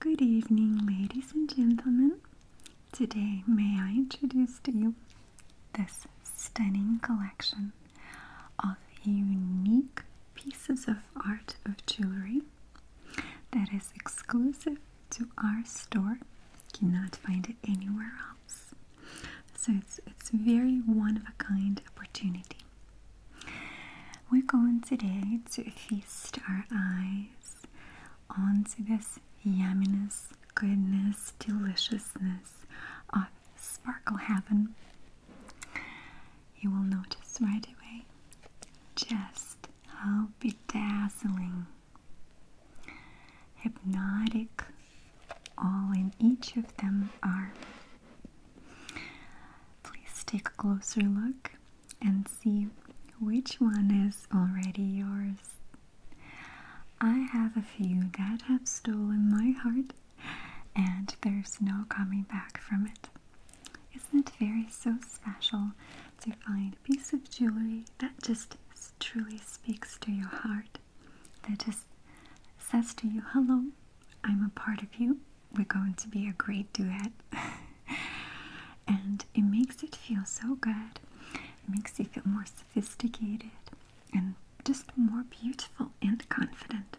Good evening, ladies and gentlemen. Today, may I introduce to you this stunning collection of unique pieces of art of jewelry that is exclusive to our store. You cannot find it anywhere else. So it's it's very one of a kind opportunity. We're going today to feast our eyes onto this yumminess, goodness, deliciousness of Sparkle Heaven. You will notice right away just how bedazzling, hypnotic all in each of them are. Please take a closer look and see which one is already yours. I have a few that have stolen my heart, and there's no coming back from it. Isn't it very so special to find a piece of jewelry that just truly speaks to your heart, that just says to you, Hello, I'm a part of you, we're going to be a great duet. and it makes it feel so good. It makes you feel more sophisticated and just more beautiful and confident.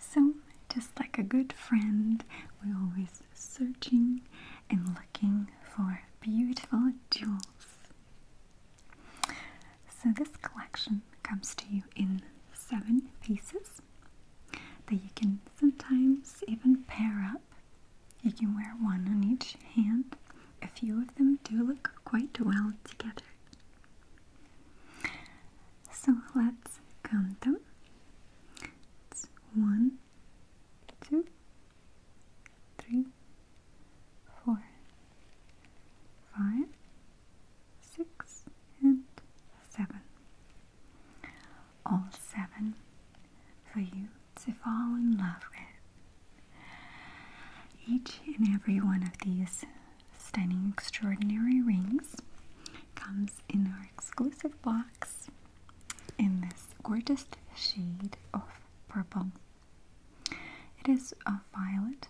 So, just like a good friend, we're always searching and looking for beautiful jewels. So, this collection comes to you in seven pieces that you can sometimes even pair up. You can wear one on each hand. A few of them do look quite well together. So let's count them. one, two, three, four, five, six, and seven. All seven for you to fall in love with. Each and every one of these stunning, extraordinary rings comes in our exclusive box in this gorgeous shade of purple. It is a violet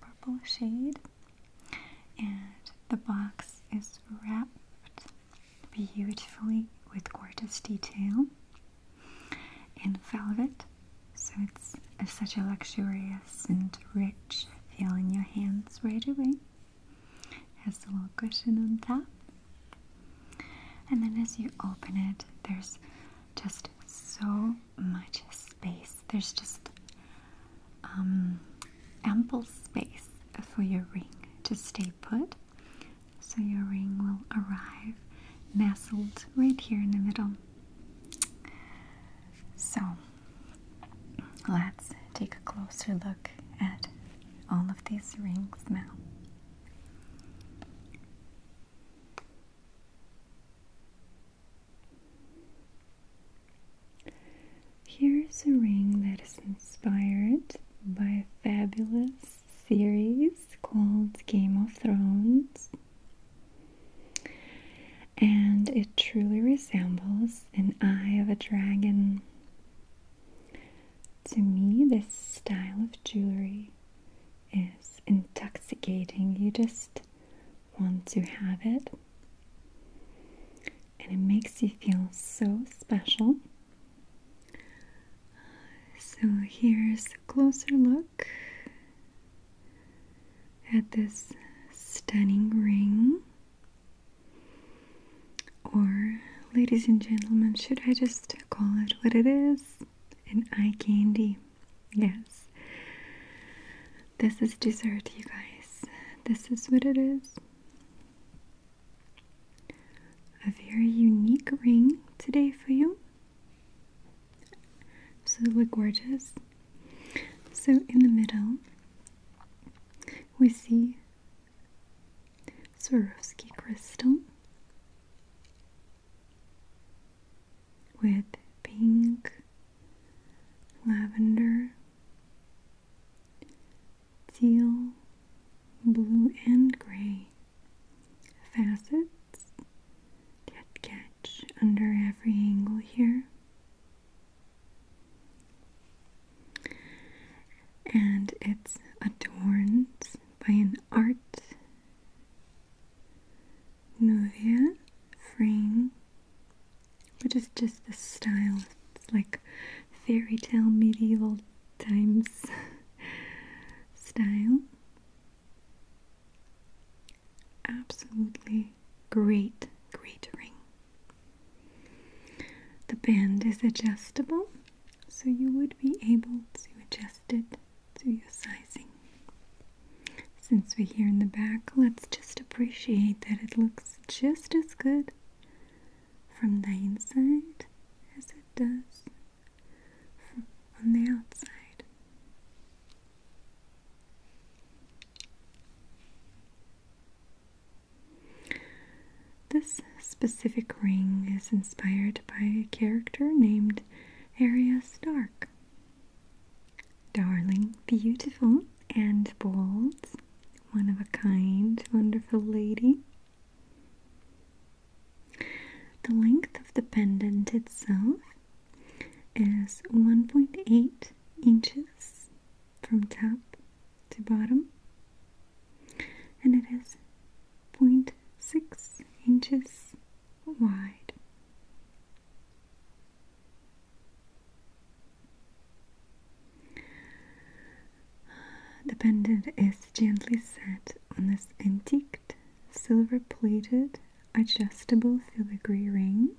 purple shade and the box is wrapped beautifully with gorgeous detail in velvet, so it's such a luxurious and rich feel in your hands right away. Has a little cushion on top. And then as you open it, there's just so much space. There's just um, ample space for your ring to stay put. So your ring will arrive nestled right here in the middle. So let's take a closer look at all of these rings now. Here's a ring that is inspired by a fabulous series called Game of Thrones, and it truly resembles an eye of a dragon. To me, this style of jewelry is intoxicating. You just want to have it and it makes you feel so special. So, here's a closer look at this stunning ring. Or, ladies and gentlemen, should I just call it what it is? An eye candy. Yes. This is dessert, you guys. This is what it is. A very unique ring today for you. Absolutely gorgeous. So, in the middle, we see Swarovski crystal with pink, lavender, teal, blue, and gray facets that catch under every angle here. And it's adorned by an art Nuvia frame. Which is just the style. It's like fairy tale medieval times style. Absolutely great, great ring. The band is adjustable, so you would be able to adjust it to your sizing. Since we're here in the back, let's just appreciate that it looks just as good from the inside as it does from on the outside. This specific ring is inspired by a character named Arya Stark. Darling, beautiful, and bold, one of a kind, wonderful lady. The length of the pendant itself is 1.8 inches from top to bottom, and it is 0.6 inches wide. The pendant is gently set on this antiqued, silver plated, adjustable filigree ring.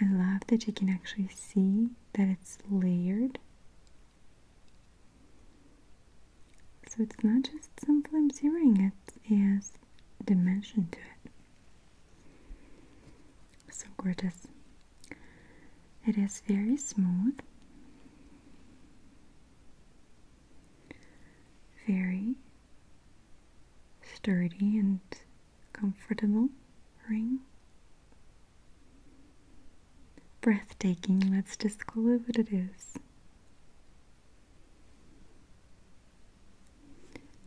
I love that you can actually see that it's layered. So it's not just some flimsy ring, it has dimension to it so gorgeous. It is very smooth, very sturdy and comfortable ring. Breathtaking, let's just call it what it is.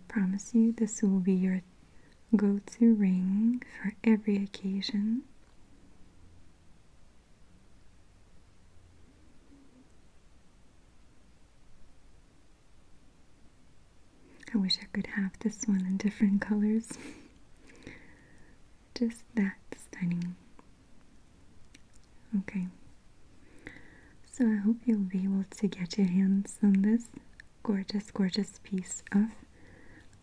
Promise you this will be your go-to ring for every occasion. I wish I could have this one in different colors. Just that stunning. Okay. So I hope you'll be able to get your hands on this gorgeous, gorgeous piece of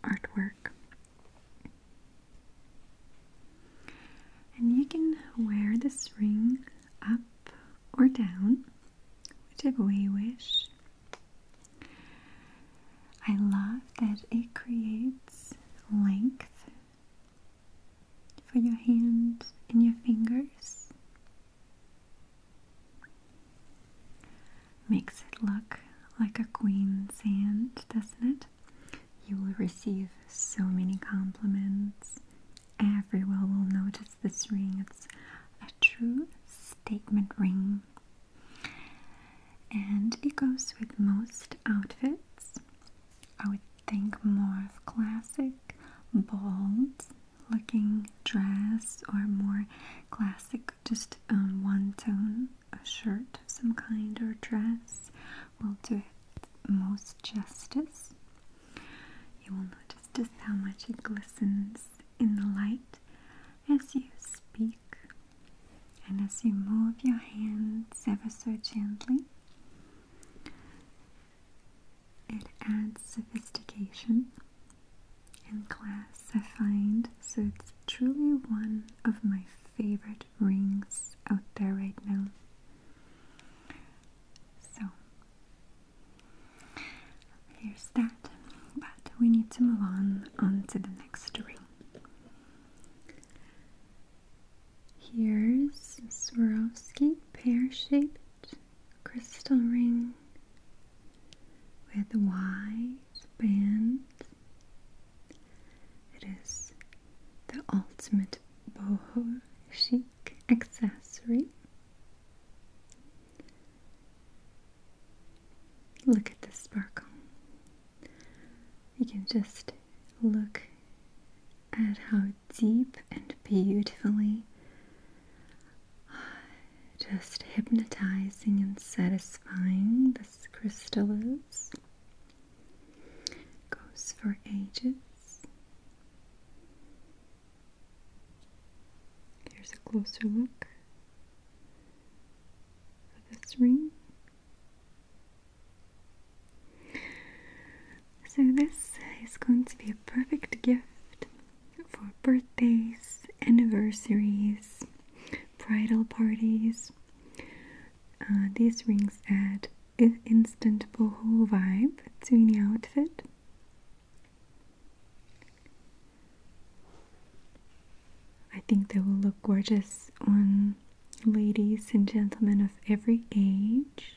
artwork. And you can wear this ring up or down, whichever way you wish. I love that it creates length for your hands and your fingers. Makes it look like a queen's hand, doesn't it? You will receive so many compliments. Everyone will notice this ring. It's a true statement ring. And it goes with most outfits. I would think more of classic, balls looking dress or more classic, just um, one tone, a shirt of some kind or dress will do it most justice. You will notice just how much it glistens in the light as you speak and as you move your hands ever so gently. It adds sophistication and class, I find. So it's truly one of my favorite rings out there right now. So here's that. But we need to move on on to the next ring. Here's Swarovski pear-shaped crystal ring with wide bands. It is the ultimate boho chic accessory. Look at this sparkle. You can just look at how deep and beautifully just hypnotizing and satisfying this crystal is. Goes for ages. Here's a closer look of this ring. So, this is going to be perfect gift for birthdays, anniversaries, bridal parties. Uh, these rings add an instant boho vibe to any outfit. I think they will look gorgeous on ladies and gentlemen of every age.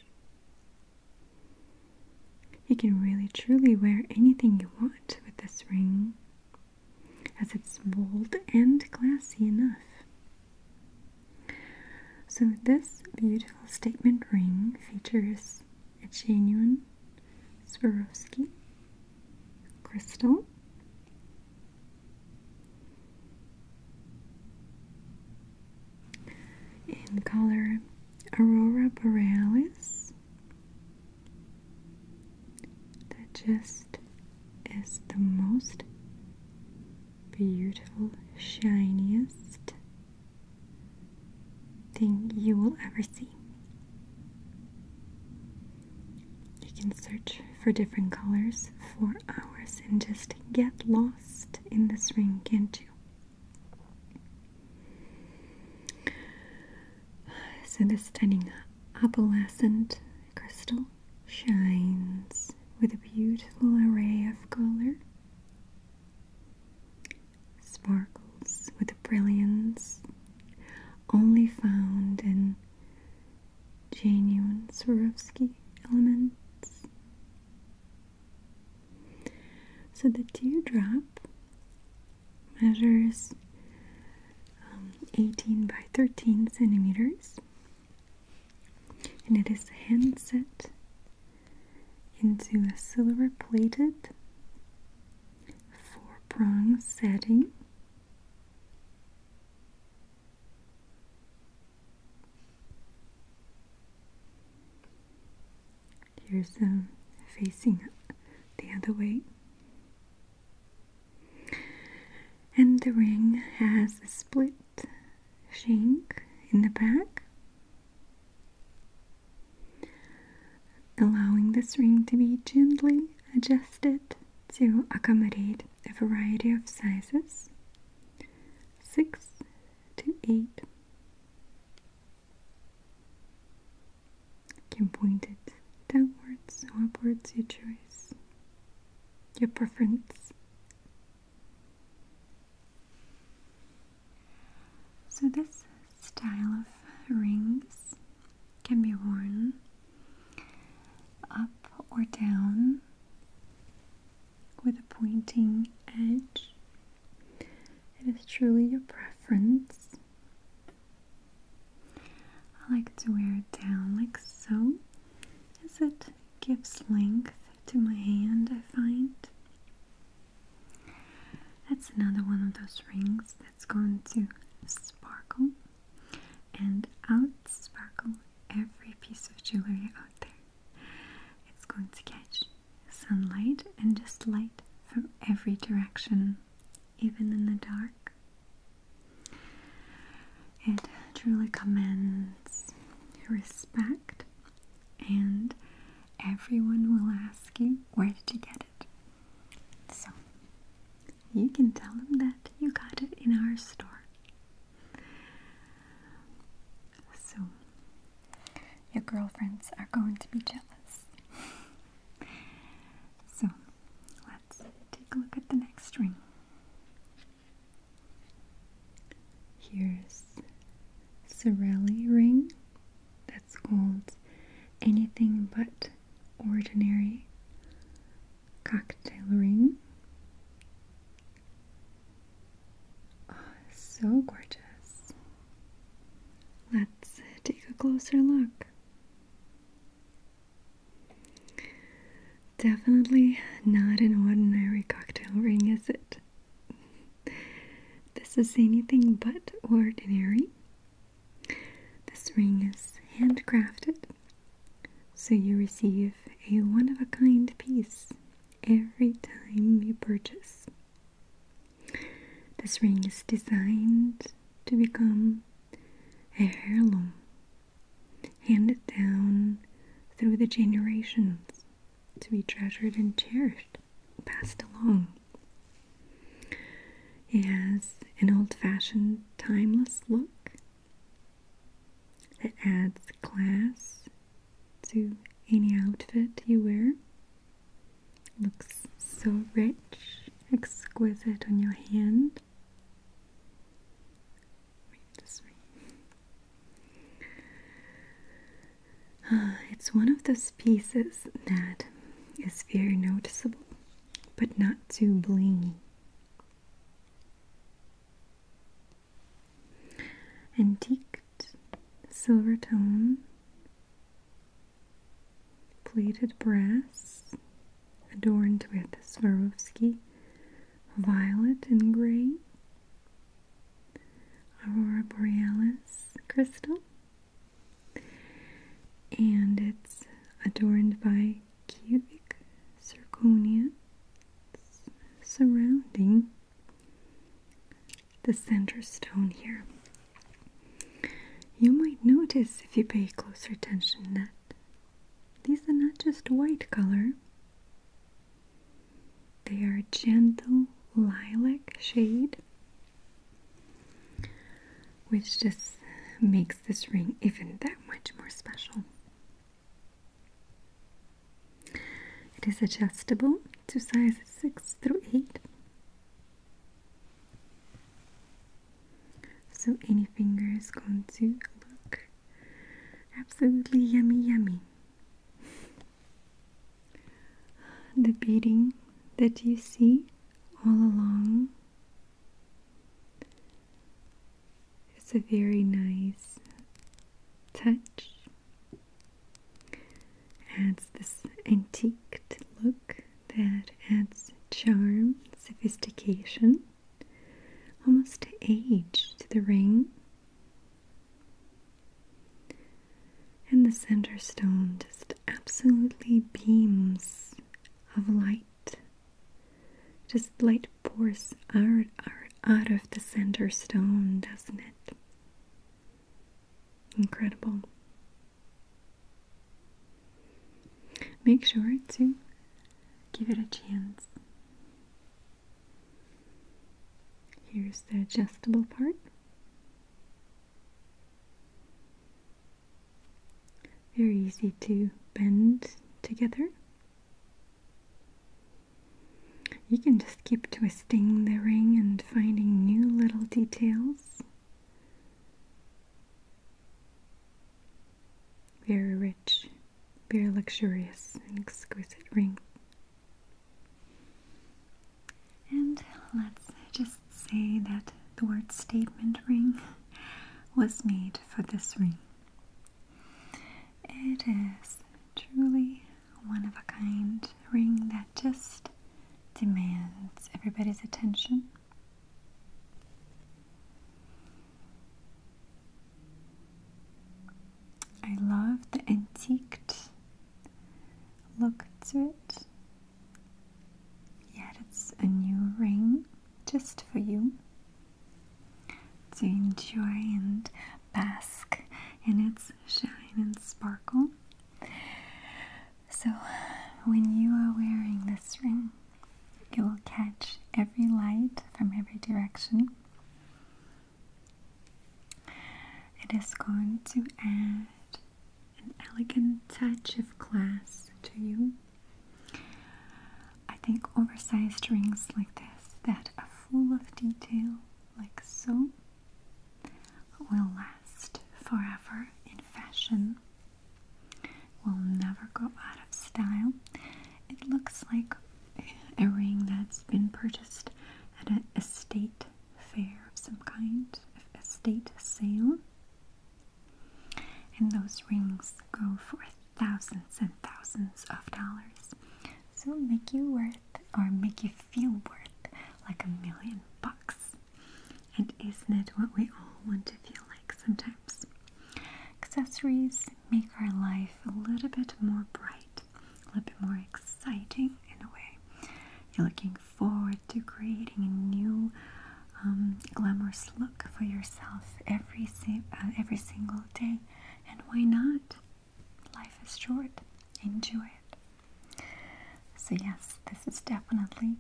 You can really truly wear anything you want with this ring, as it's bold and classy enough. So, this beautiful statement ring features a genuine Swarovski crystal. In color Aurora Borealis that just is the most beautiful, shiniest thing you will ever see. You can search for different colors for hours and just get lost in this ring, can't you? So this stunning opalescent crystal shines with a beautiful array of color, sparkles with a brilliance only found in genuine Swarovski elements. So the teardrop measures um, 18 by 13 centimeters and it is hand set into a silver plated four prong setting. Here's them facing the other way. And the ring has a split shank in the back, allowing this ring to be gently adjusted to accommodate a variety of sizes 6 to 8. You can point it downwards or upwards, your choice, your preference. So, this style of rings can be worn up or down with a pointing edge it is truly your preference. I like to wear it down like so, as it gives length to my hand, I find. That's another one of those rings that's going to sparkle and out sparkle every piece of jewelry out there. It's going to catch sunlight and just light from every direction, even in the dark. It truly commands respect, and everyone will ask you where did you get it. So you can tell them that you got it in our store. So your girlfriends are going to be jealous. so, let's take a look at the next ring. Here's Sorelli ring. That's called anything but ordinary cocktail ring. Oh, so gorgeous. Let's take a closer look. Definitely not an ordinary cocktail ring, is it? This is anything but ordinary. This ring is handcrafted, so you receive a one of a kind piece every time you purchase. This ring is designed to become a heirloom handed down through the generations to be treasured and cherished, passed along. It has an old fashioned, timeless look that adds class to any outfit you wear. Looks so rich, exquisite on your hand. Ah, it's one of those pieces that is very noticeable, but not too blingy. Antique silver tone, plated brass, adorned with Swarovski violet and gray, aurora borealis crystal, and it's adorned by cubic zirconia surrounding the center stone here. You might notice if you pay closer attention that these are not just white color. They are a gentle lilac shade, which just makes this ring even that much more special. It is adjustable to sizes 6 through 8 so any finger is going to look absolutely yummy, yummy. The beading that you see all along its a very nice touch adds this antiqued look that adds charm, sophistication, almost age to the ring. And the center stone just absolutely beams of light. Just light pours out, out, out of the center stone, doesn't it? Incredible. Make sure to give it a chance. Here's the adjustable part. Very easy to bend together. You can just keep twisting. Sting the ring and finding new little details. Very rich, very luxurious, and exquisite ring. And let's just say that the word statement ring was made for this ring. It is truly one of a kind ring that just demands everybody's attention. I love the antiqued look to it. Yet it's a new ring just for you to enjoy and bask in its shine and sparkle. So, when you are wearing this ring, you will catch every light from every direction. It is going to add an elegant touch of class to you. I think oversized rings like this that are full of detail, like so, will last forever in fashion, will never go out of style. It looks like a ring that's been purchased at an estate fair of some kind, estate sale. And those rings go for thousands and thousands of dollars. So make you worth or make you feel worth like a million bucks. And isn't it what we all want to feel like sometimes? Accessories make our life a little bit more bright, a little bit more exciting in a way. You're looking forward to creating a new um, glamorous look for yourself every, uh, every single day. And why not? Life is short. Enjoy it. So, yes, this is definitely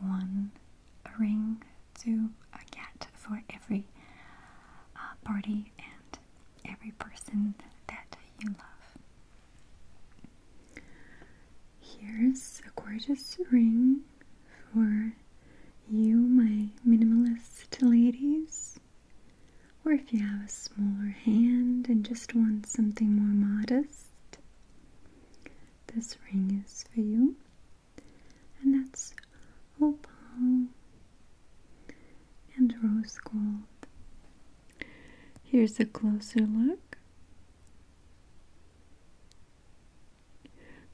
one ring to uh, get for every uh, party and every person that you love. Here's a gorgeous ring for you, my minimalist ladies, or if you have a smaller hand and just want something more modest, this ring is for you. And that's opal and rose gold. Here's a closer look.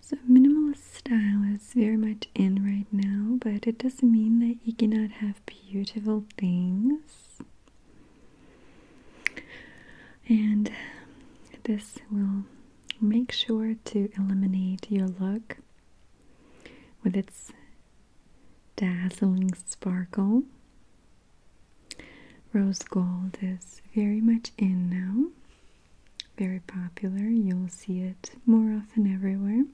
So, minimalist style is very much in right now, but it doesn't mean that you cannot have beautiful things. And um, this will make sure to eliminate your look with its dazzling sparkle. Rose gold is very much in now, very popular. You'll see it more often everywhere.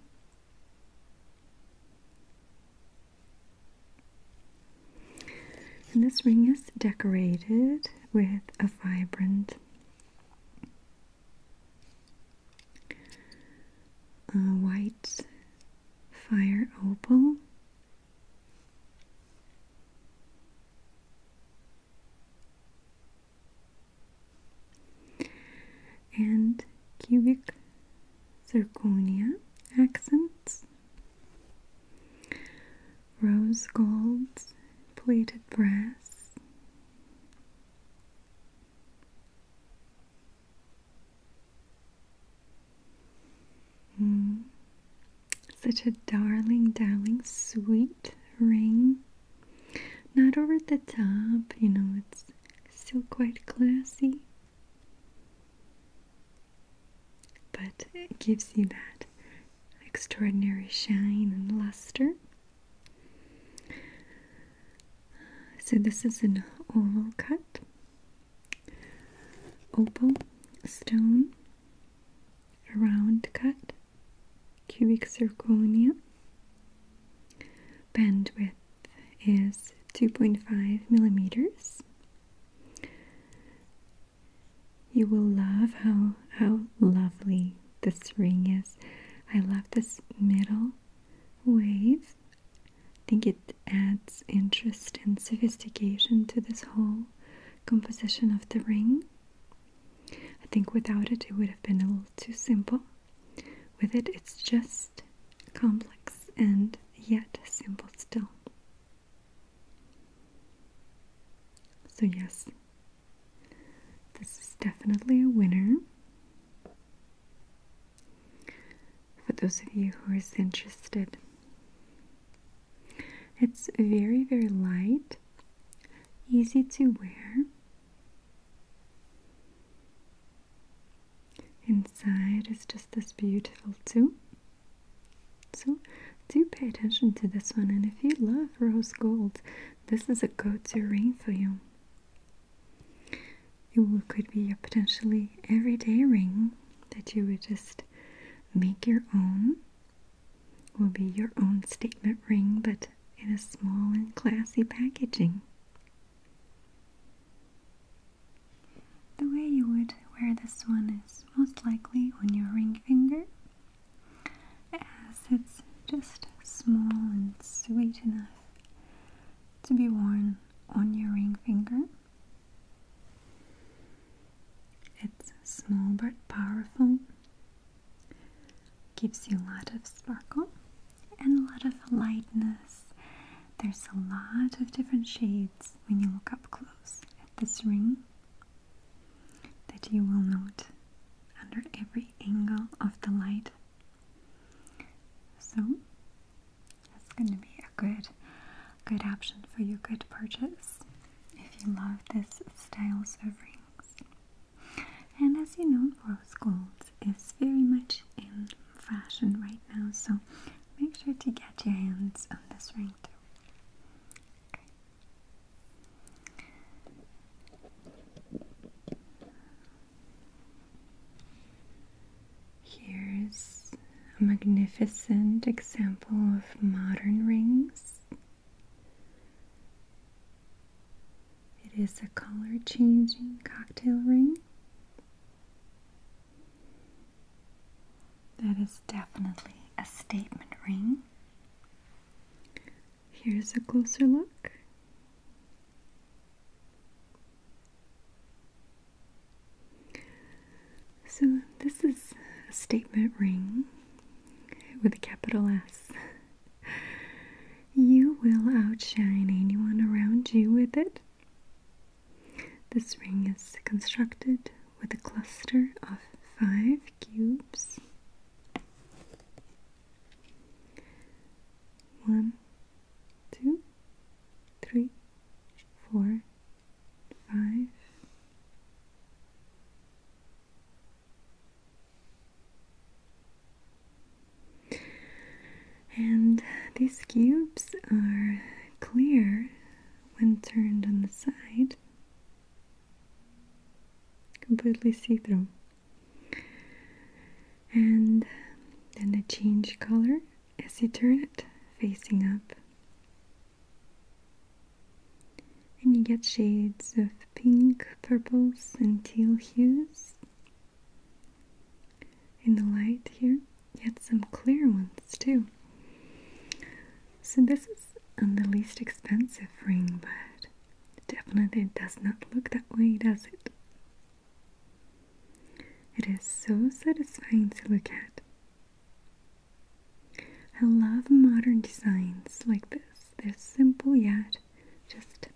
And this ring is decorated with a vibrant uh, white fire opal. And cubic zirconia accents, rose golds, plated brass, mm. such a darling, darling, sweet ring. Not over the top, you know, it's still quite classy but it gives you that extraordinary shine and luster. So, this is an oval cut, opal stone, a round cut, cubic zirconia. Bandwidth is 2.5 millimeters you will love how how lovely this ring is. I love this middle wave. I think it adds interest and sophistication to this whole composition of the ring. I think without it, it would have been a little too simple. With it, it's just complex and yet simple still. So, yes, this is definitely a winner. For those of you who are interested, it's very, very light, easy to wear. Inside is just this beautiful too. So do pay attention to this one and if you love rose gold, this is a go-to ring for you. It could be a potentially everyday ring that you would just make your own. Will be your own statement ring, but in a small and classy packaging. The way you would wear this one is most likely on your ring finger, as it's just small and sweet enough to be worn on your ring finger. It's small but powerful, gives you a lot of sparkle and a lot of lightness there's a lot of different shades when you look up close at this ring that you will note under every angle of the light. So that's going to be a good good option for you, good purchase if you love this styles of rings. And as you know, rose gold is very much in fashion right now, so make sure to get your hands on this ring Here's a magnificent example of modern rings. It is a color changing cocktail ring. That is definitely a statement ring. Here's a closer look. So, this is a statement ring with a capital S. You will outshine anyone around you with it. This ring is constructed with a cluster of five cubes. One, two, three, four, five. And these cubes are clear when turned on the side, completely see through. And then they change color as you turn it facing up. And you get shades of pink, purples, and teal hues in the light here. Yet some clear ones too. So this is the least expensive ring, but definitely it does not look that way, does it? It is so satisfying to look at. I love modern designs like this. They're simple yet just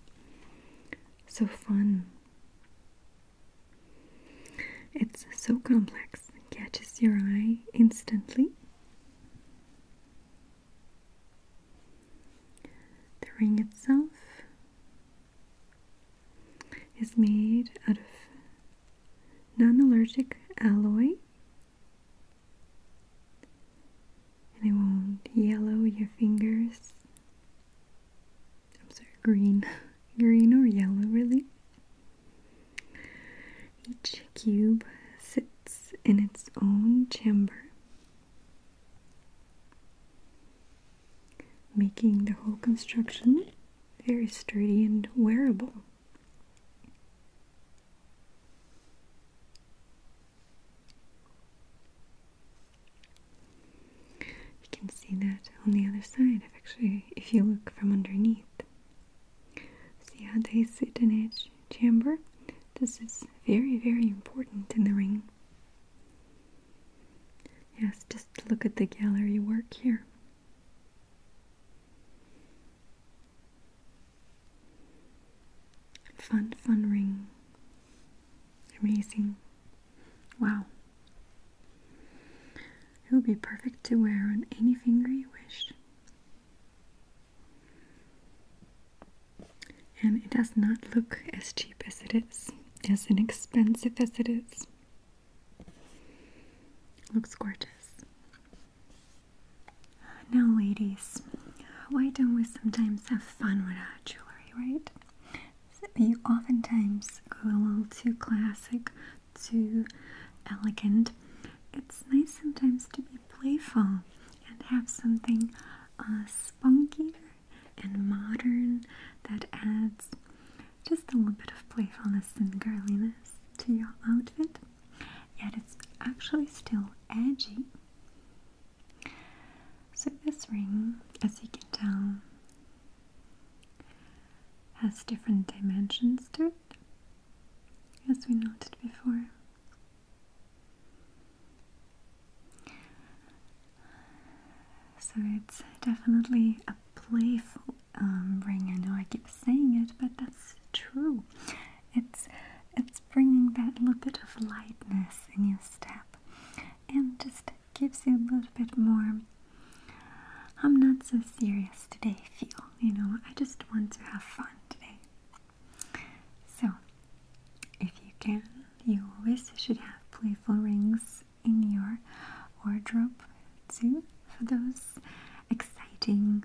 so fun. It's so complex, it catches your eye instantly. The ring itself is made out of non allergic alloy and it won't yellow your fingers I'm sorry, green. Green or yellow, really. Each cube sits in its own chamber, making the whole construction very sturdy and wearable. You can see that on the other side, if actually, if you look from underneath. See how they sit in each chamber? This is very, very important in the ring. Yes, just look at the gallery work here. Fun, fun ring. Amazing. Wow. It would be perfect to wear on any finger you wish. And it does not look as cheap as it is, as inexpensive as it is. Looks gorgeous. Now, ladies, why don't we sometimes have fun with our jewelry, right? you oftentimes go a little too classic, too elegant. It's nice sometimes to be playful and have something uh, spunkier and modern that adds just a little bit of playfulness and girliness to your outfit, yet it's actually still edgy. So, this ring, as you can tell, has different dimensions to it, as we noted before. So it's definitely a playful um, ring. I know I keep saying it, but that's true. It's it's bringing that little bit of lightness in your step, and just gives you a little bit more I'm not so serious today feel, you know, I just want to have fun today. So if you can, you always should have playful rings in your wardrobe too for those exciting,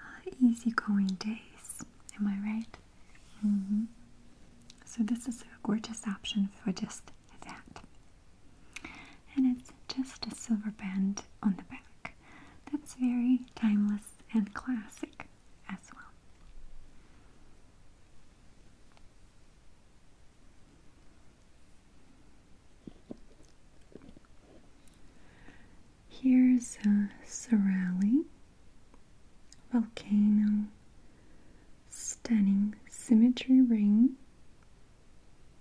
uh, easygoing days. Am I right? Mm-hmm. So, this is a gorgeous option for just that. And it's just a silver band on the back. That's very timeless and classic as well. Here's a Sorali volcano, stunning symmetry ring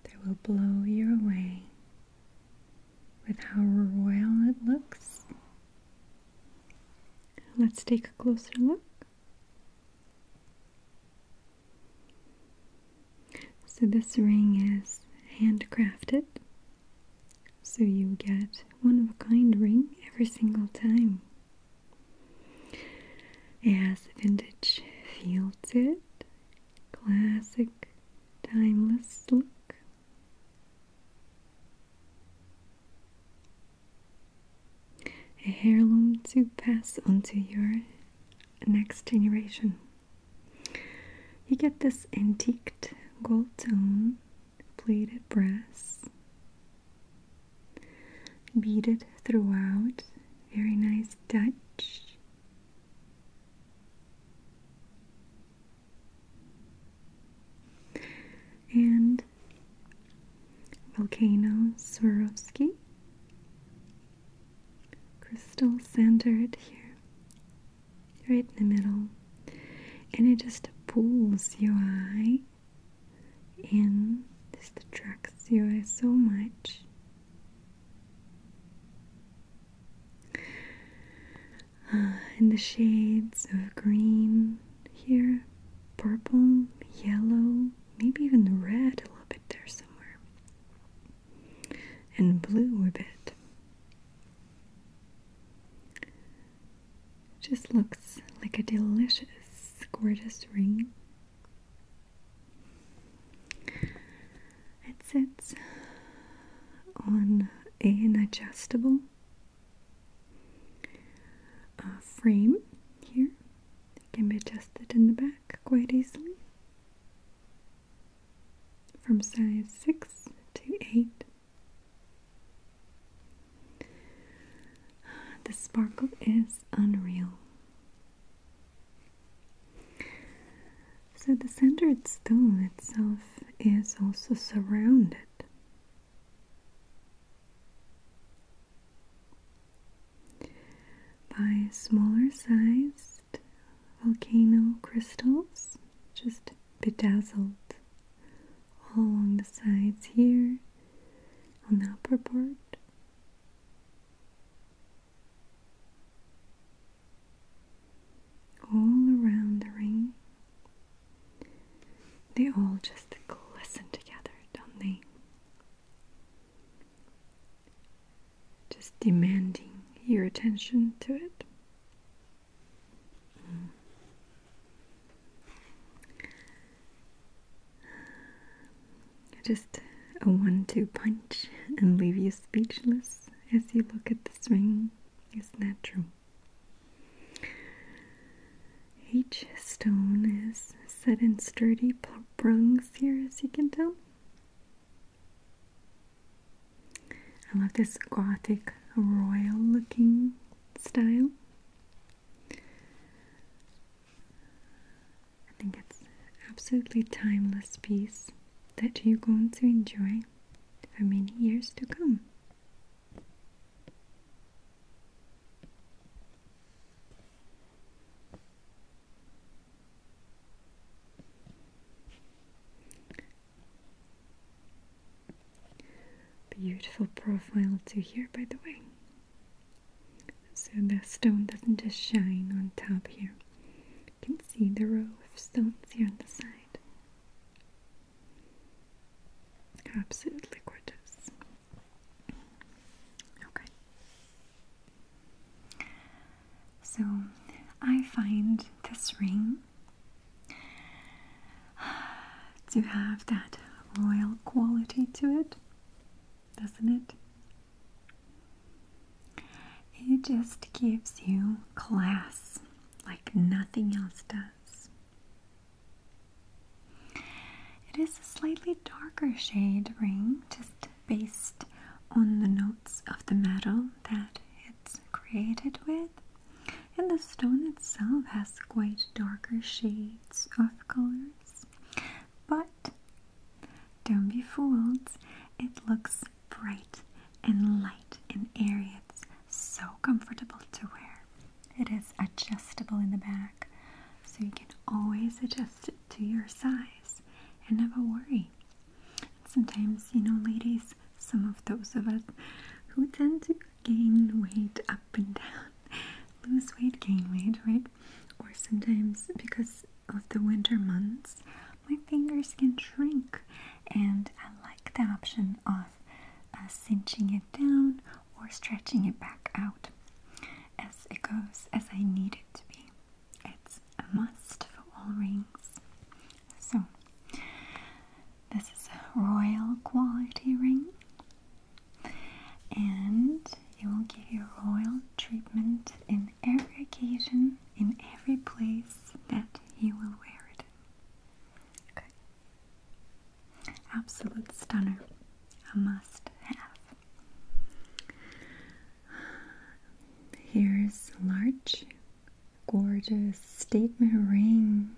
that will blow you away with how royal it looks. Let's take a closer look. So, this ring is handcrafted, so you get one of a kind ring every single time it a vintage feel to it, classic, timeless look. A heirloom to pass onto your next generation. You get this antiqued gold tone, plated brass, beaded throughout. Very nice touch. And Volcano Swarovski crystal centered here, right in the middle, and it just pulls you eye and this attracts you so much. Uh, in the shades of green here, purple, yellow, maybe even red a little bit there somewhere, and blue a bit. Just looks like a delicious, gorgeous ring it sits on an adjustable uh, frame here. It can be adjusted in the back quite easily from size 6 to 8. The sparkle is unreal. So the centered stone itself is also surrounded. By smaller sized volcano crystals, just bedazzled all along the sides here on the upper part, all around the ring, they all just glisten together, don't they? Just demanding your attention to it. Mm. Just a one two punch and leave you speechless as you look at the ring It's natural. Each stone is set in sturdy prongs here, as you can tell. I love this gothic royal looking style. I think it's absolutely timeless piece that you're going to enjoy for many years to come. Beautiful profile too here by the way. So the stone doesn't just shine on top here. You can see the row of stones here on the side. Absolutely gorgeous. Okay. So I find this ring to have that royal quality to it doesn't it? It just gives you class like nothing else does. It is a slightly darker shade ring, just based on the notes of the metal that it's created with. And the stone itself has quite darker shades of colors. But don't be fooled, it looks bright and light and airy. It's so comfortable to wear. It is adjustable in the back, so you can always adjust it to your size and never worry. sometimes, you know, ladies, some of those of us who tend to gain weight up and down, lose weight, gain weight, right? Or sometimes because of the winter months, my fingers can shrink, and I like the option of uh, cinching it down or stretching it back out as it goes, as I need it to be. It's a must for all rings. So, this is a royal quality ring and he will give you royal treatment in every occasion, in every place that he will wear it. Absolute stunner. A must have. Here's large, gorgeous statement ring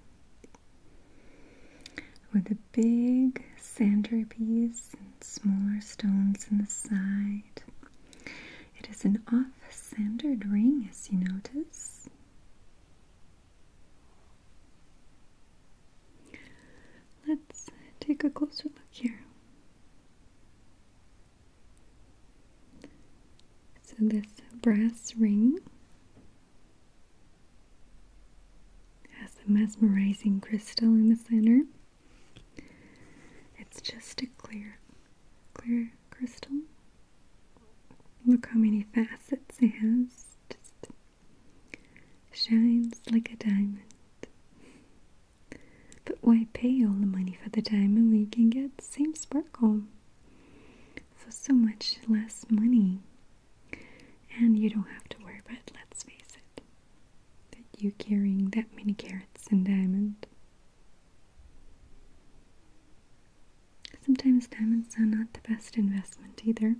with a big piece and smaller stones in the side. It is an off-centered ring, as you notice. Let's take a closer look here. So, this brass ring has the mesmerizing crystal in the center. It's just a clear, clear crystal. Look how many facets it has. Just shines like a diamond. But why pay all the money for the diamond when you can get the same sparkle? For so much less money. And you don't have to worry about let's face it that you carrying that many carats and diamond. Sometimes diamonds are not the best investment either,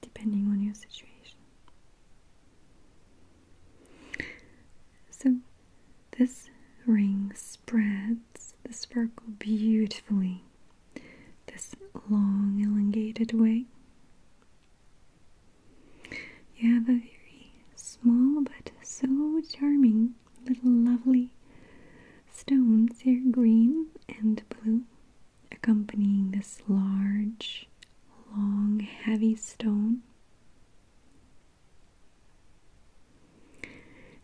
depending on your situation. So this ring spreads the sparkle beautifully this long elongated way you have a very small but so charming little lovely stones here, green and blue, accompanying this large, long, heavy stone.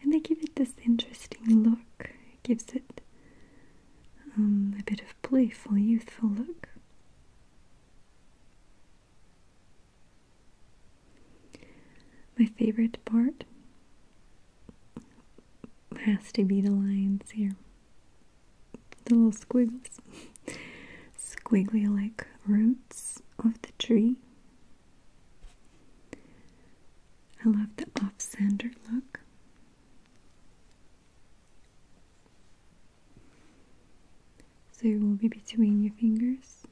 And they give it this interesting look. gives it um, a bit of playful, youthful look. My favorite part has to be the lines here. The little squiggles. Squiggly like roots of the tree. I love the off-center look. So it will be between your fingers.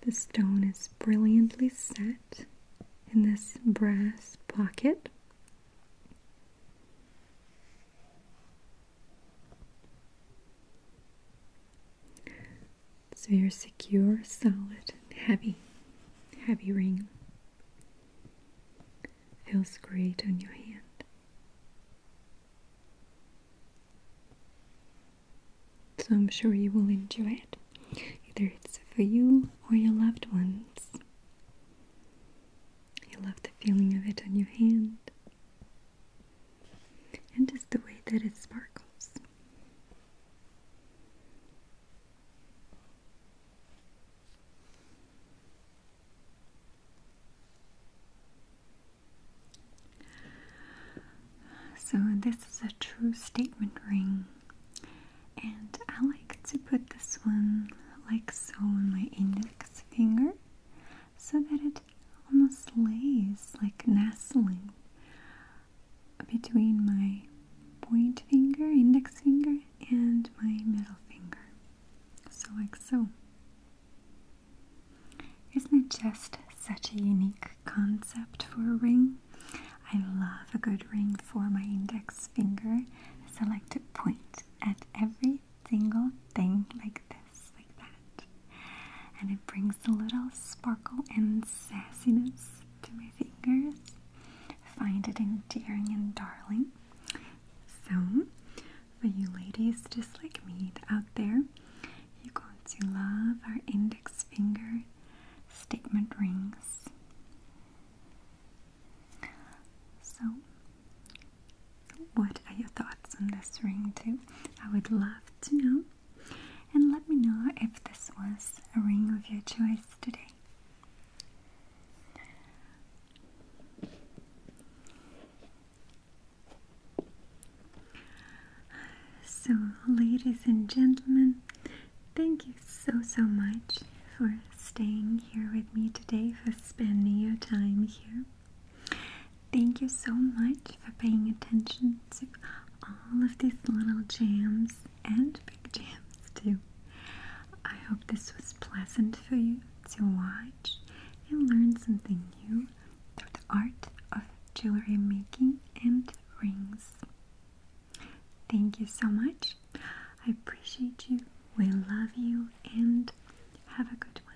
The stone is brilliantly set in this brass pocket. So you're secure, solid, and heavy, heavy ring. Feels great on your hand. So I'm sure you will enjoy it. Either it's for you or your loved ones. You love the feeling of it on your hand. And just the way that it sparkles. So, this is a true statement ring, and I like to put this one like so on my index finger so that it almost lays like nestling between my point finger, index finger, and my middle finger. So, like so. Isn't it just such a unique concept for a ring? I love a good ring for my index finger, so I like to point at every single thing like this, like that. And it brings a little sparkle and sassiness to my fingers. Find it endearing and darling. So, for you ladies just like me out there, you're going to love our index finger statement rings. So, what are your thoughts on this ring, too? I would love to know. And let me know if this was a ring of your choice today. So, ladies and gentlemen, thank you so so much for staying here with me today, for spending your time here. Thank you so much for paying attention to all of these little gems and big gems too. I hope this was pleasant for you to watch and learn something new through the art of jewelry making and rings. Thank you so much. I appreciate you. We love you and have a good one.